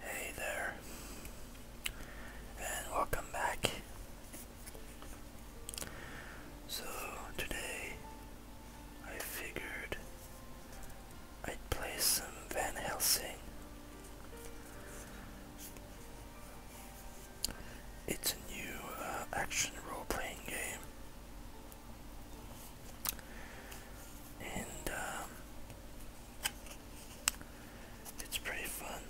Hey there, and welcome back. So, today I figured I'd play some Van Helsing. It's a new uh, action role playing game and um, it's pretty fun,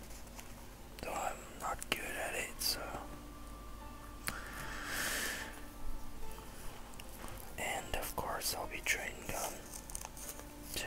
though I'm not good at it, so. And of course, I'll be training them too.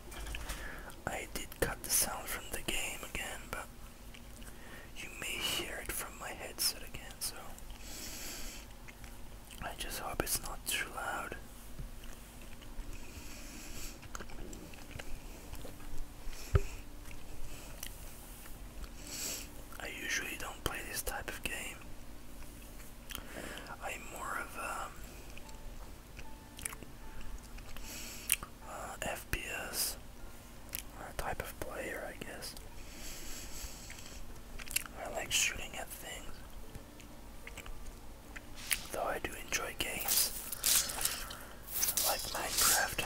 I did cut the sound from the game again, but you may hear it from my headset again, so I just hope it's not too loud. I usually don't play this type of game. I'm more of a uh, FPS type of player, I guess. I like shooting at things. Though I do enjoy games like Minecraft.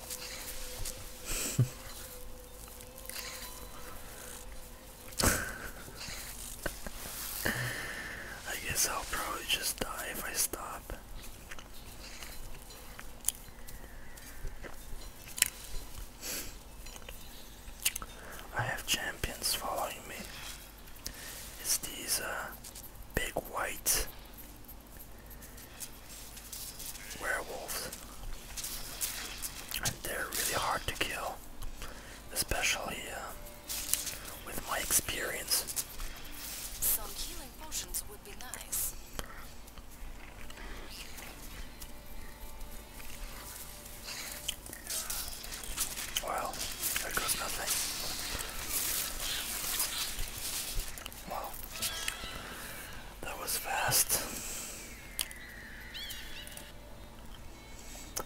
I guess I'll probably just die if I stop. I have champions following me. It's these uh, big white werewolves. And they're really hard to kill, especially uh, with my experience. Well, there goes nothing. Wow. That was fast.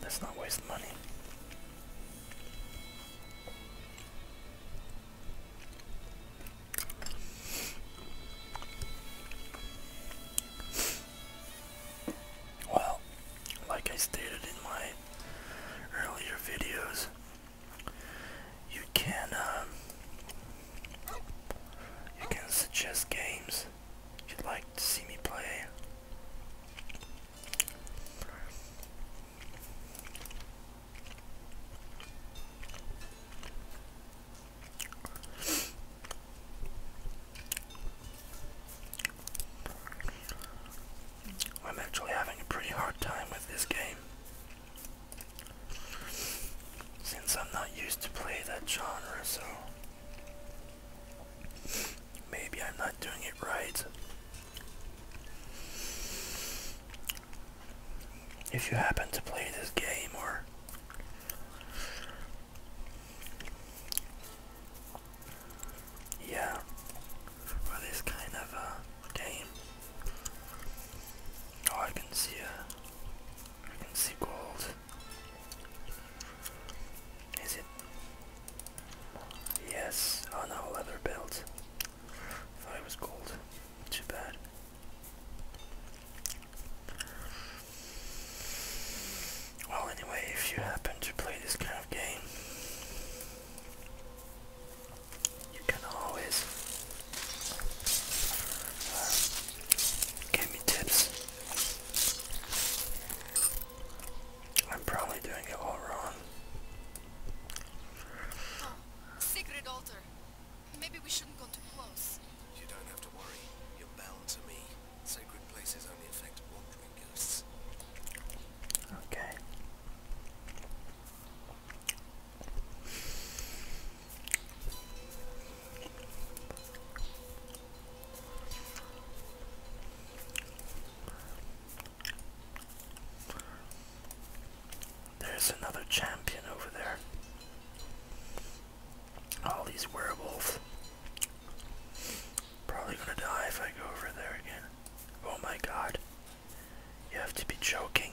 Let's not waste money. Well, like I stated in my earlier videos, you can um, you can suggest games you'd like to see me play. I'm actually having a pretty hard time with this game. Since I'm not used to play that genre, so maybe I'm not doing it right. If you happen to play this game or yeah, or this kind of a uh, game. Oh, I can see a, uh, I can see gold. Is it? Yes. Oh no, leather belt. Thought it was gold. Too bad. Well, anyway, if you happen to play this kind of game, you can always uh, give me tips. I'm probably doing it all wrong. Oh, altar. Maybe we shouldn't go too close. You don't have to worry. You're bound to me. Sacred places only affect wandering ghosts. Okay. There's another champion over there. All these werewolves. Probably gonna die if I go over there again. Oh my god. You have to be joking.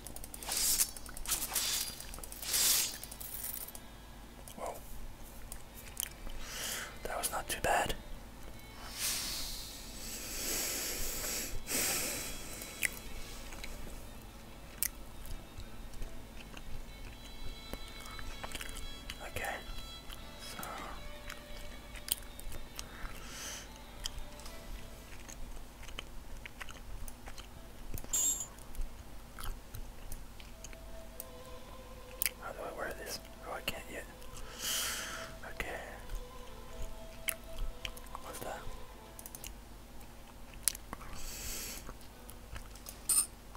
Whoa. That was not too bad. Okay. So how do I wear this? Oh, I can't yet. Okay. What's that?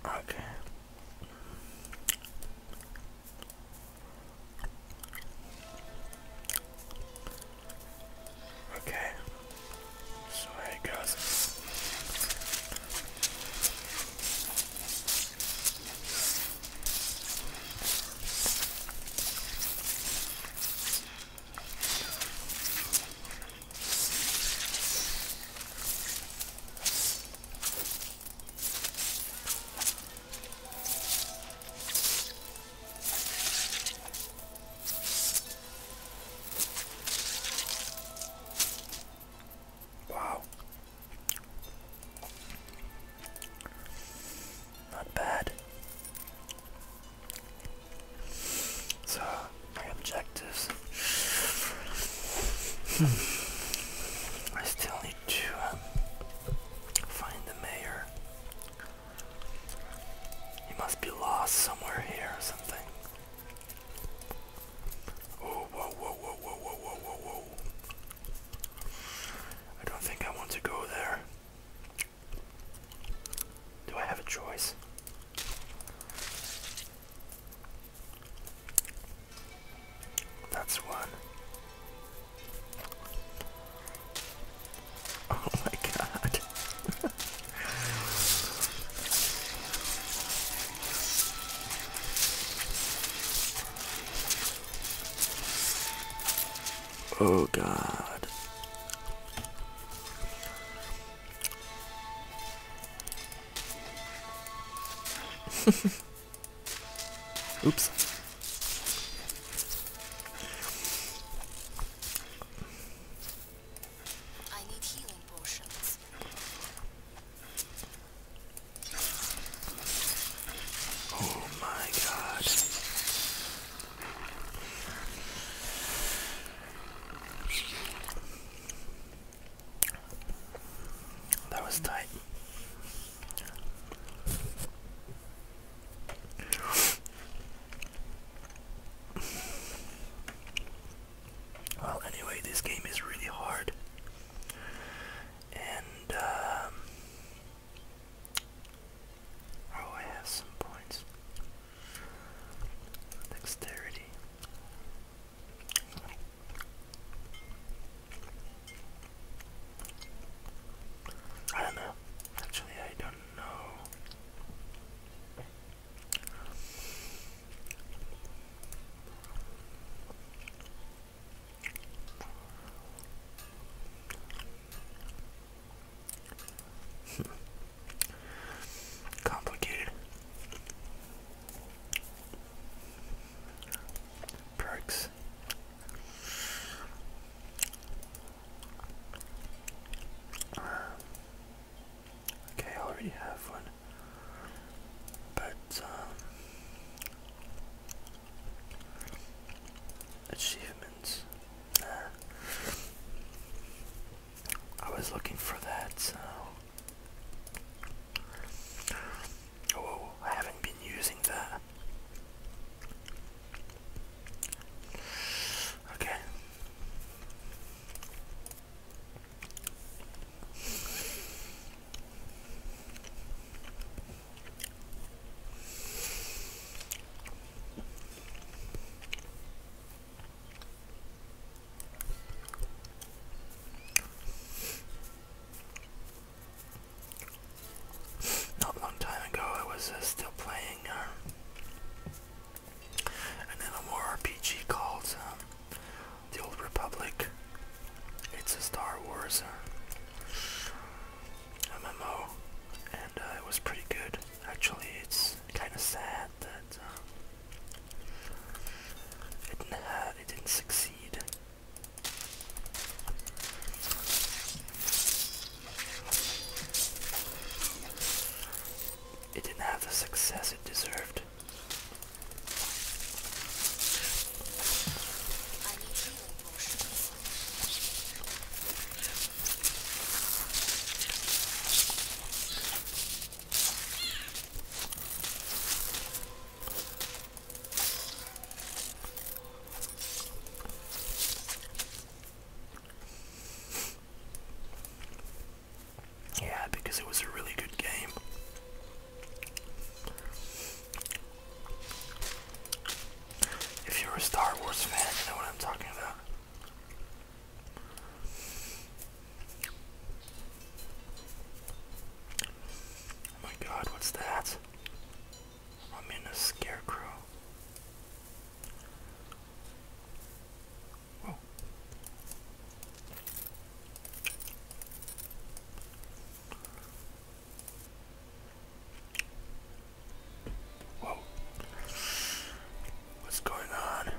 Okay. Okay. So there it goes. Wow. Not bad. So, my objectives. Hmm. I still need to um, find the mayor. He must be lost somewhere here or something. Oh, whoa, whoa, whoa, whoa, whoa, whoa, whoa, whoa. I don't think I want to go there. Do I have a choice? That's one. Oh my god oh god. Oops. I need healing potions. Oh my god. That was tight. Well, anyway, this game is really hard. And, um, oh, I have some points. Dexterity. I don't know. Actually, I don't know. Complicated. Perks. Okay, I already have one. But, um... Achievements. Nah. I was looking for that, so... Oh, I haven't been using that. Okay. Not a long time ago, I was uh, still playing uh, and then a more RPG called um, The Old Republic. It's a Star Wars uh, MMO, and uh, it was pretty good. Actually, it's kind of sad that um, it didn't succeed. It didn't have the success it deserved. Yeah, because it was a really good game. If you're a Star Wars fan, you know what I'm talking about. Oh my god, what's that? I'm in a scarecrow. Whoa. Whoa. What's going on?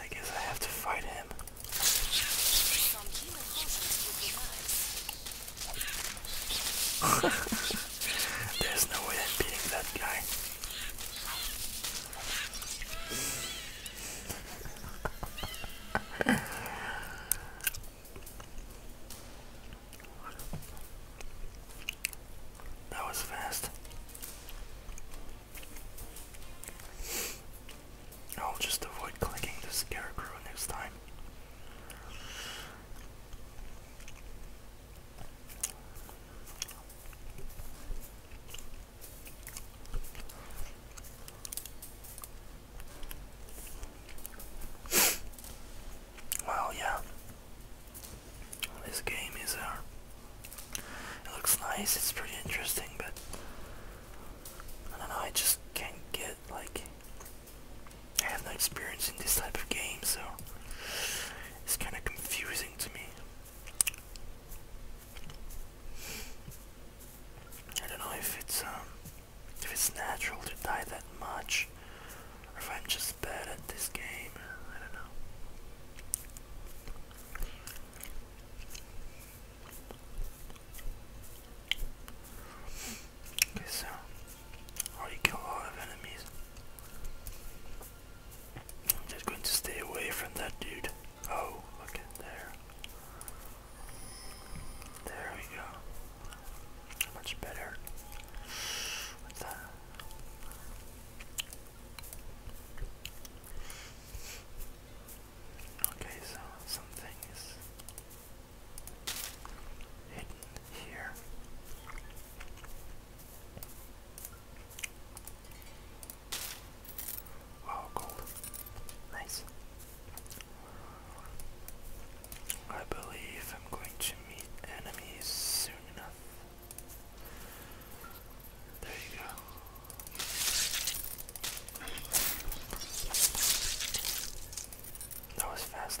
I guess I have to fight him. There's no way I'm that guy. that was fast. I'll just avoid clicking the scarecrow next time. well, yeah. This game is, uh, it looks nice, it's pretty interesting, but I don't know, I just can't get, like, I have no experience in this type of game, so it's kind of confusing to me. I don't know if it's, um, if it's natural to die that much, or if I'm just bad at this game, I don't know. Okay, so, or you kill a lot of enemies. I'm just going to stay away from that dude. Oh, look at there. There we go. Much better. What's that? Okay, so something is hidden here. Wow, oh, gold. Nice. I believe I'm going to meet enemies soon enough. There you go. That was fast.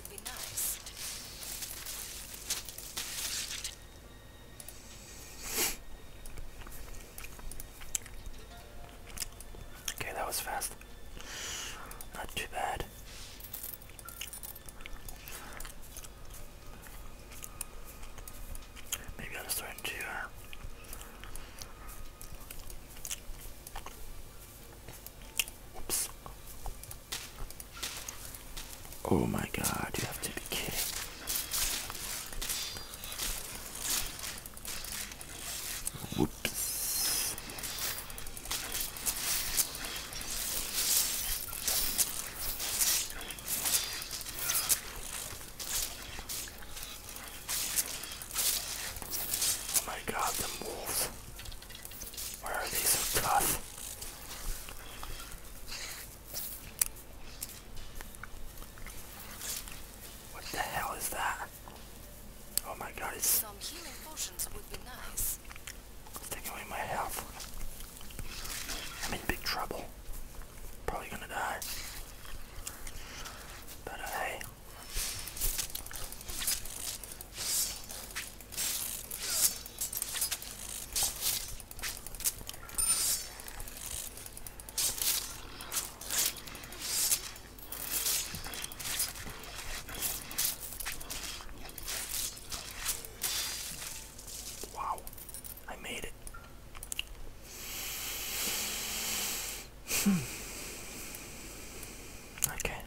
Okay, that was fast. Not too bad. Maybe I'll just throw Oh my god, you have to be kidding. Whoops. Oh my god, the move. Why are they so What the hell is that? Oh my god, some healing potions would be nice. taking away my health. I'm in big trouble. Probably gonna die. But uh, hey. Wow, I made it. okay, hmm.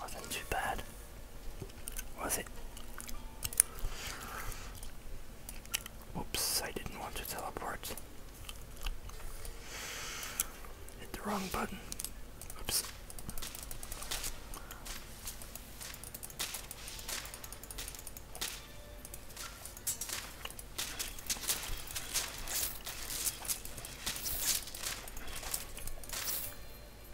Wasn't too bad, was it? Oops, I didn't want to teleport. Hit the wrong button. Oops.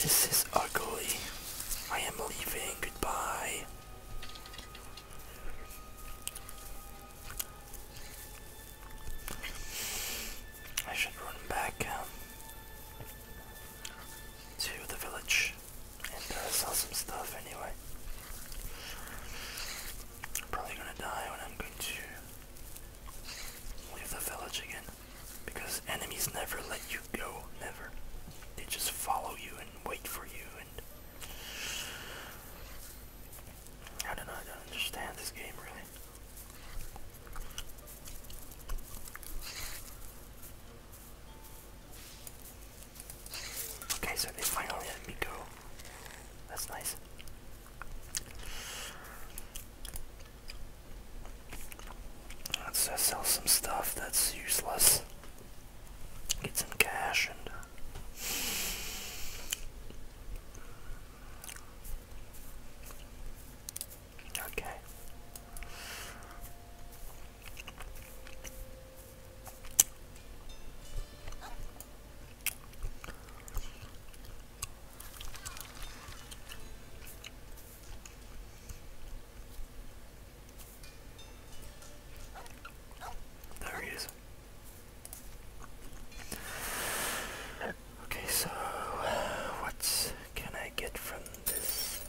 This is ugly. I am leaving. Goodbye. I should run back um, to the village and uh, sell some stuff anyway. I'm probably gonna die when I'm going to Leave the village again. Because enemies never let you go. Never. They just follow you and wait for you and. I don't I don't understand this game really. Okay, so they finally let me go. That's nice. Let's sell some stuff that's useless. Get some cash and. Uh, okay. There he is. Okay, so what can I get from this?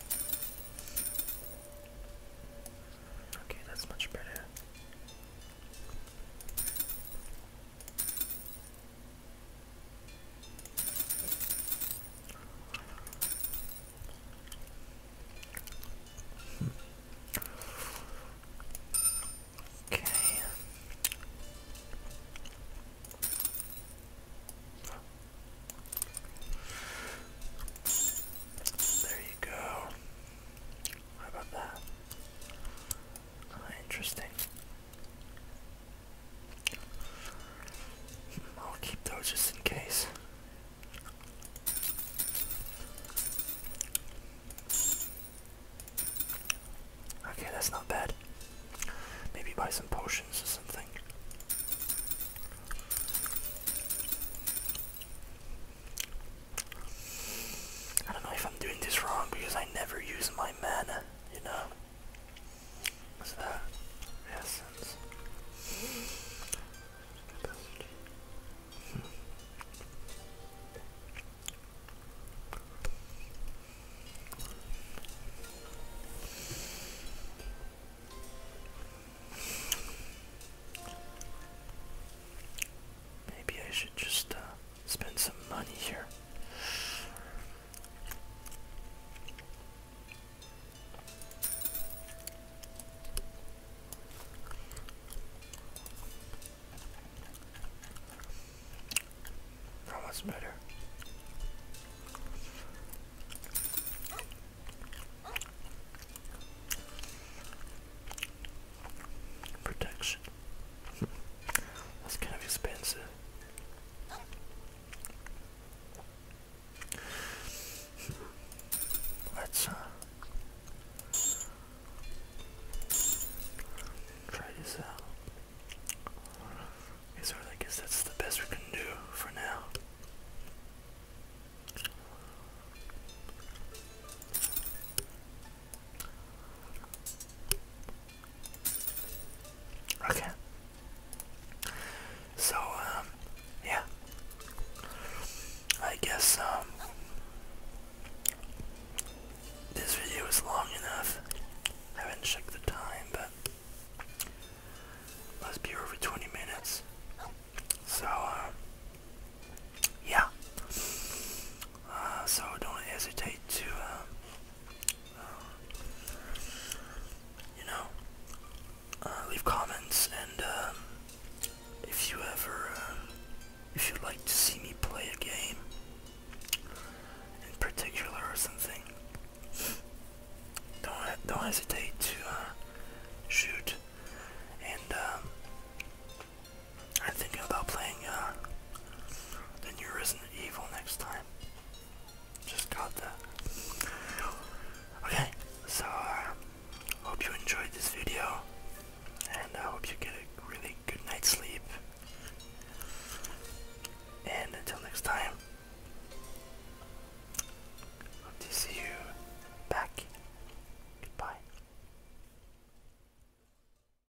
Okay, that's much better. Okay. There you go. How about that? Oh, interesting. I'll keep those just in case. Okay, that's not bad. Maybe buy some potions or something. I don't know if I'm doing this wrong because I never use my mana, you know? What's that? Essence. Maybe I should just uh, Spend some money here. That was better. Protection. That's kind of expensive. Let's try this out. I guess that's the best we can do for now. Okay. So, um, yeah. I guess, um, this video is long enough. haven't checked the time, but let be over 20 minutes. So, um, yeah. Uh, so don't hesitate to, um, um, you know, uh, leave comments and um, if you ever, if you'd like to see me play a game in particular or something, don't don't hesitate to uh, shoot and I'm thinking about playing uh, the new Resident Evil next time. Just got that. Okay, so I uh, hope you enjoyed this video, and I hope you get a really good night's sleep. And until next time, hope to see you back. Goodbye.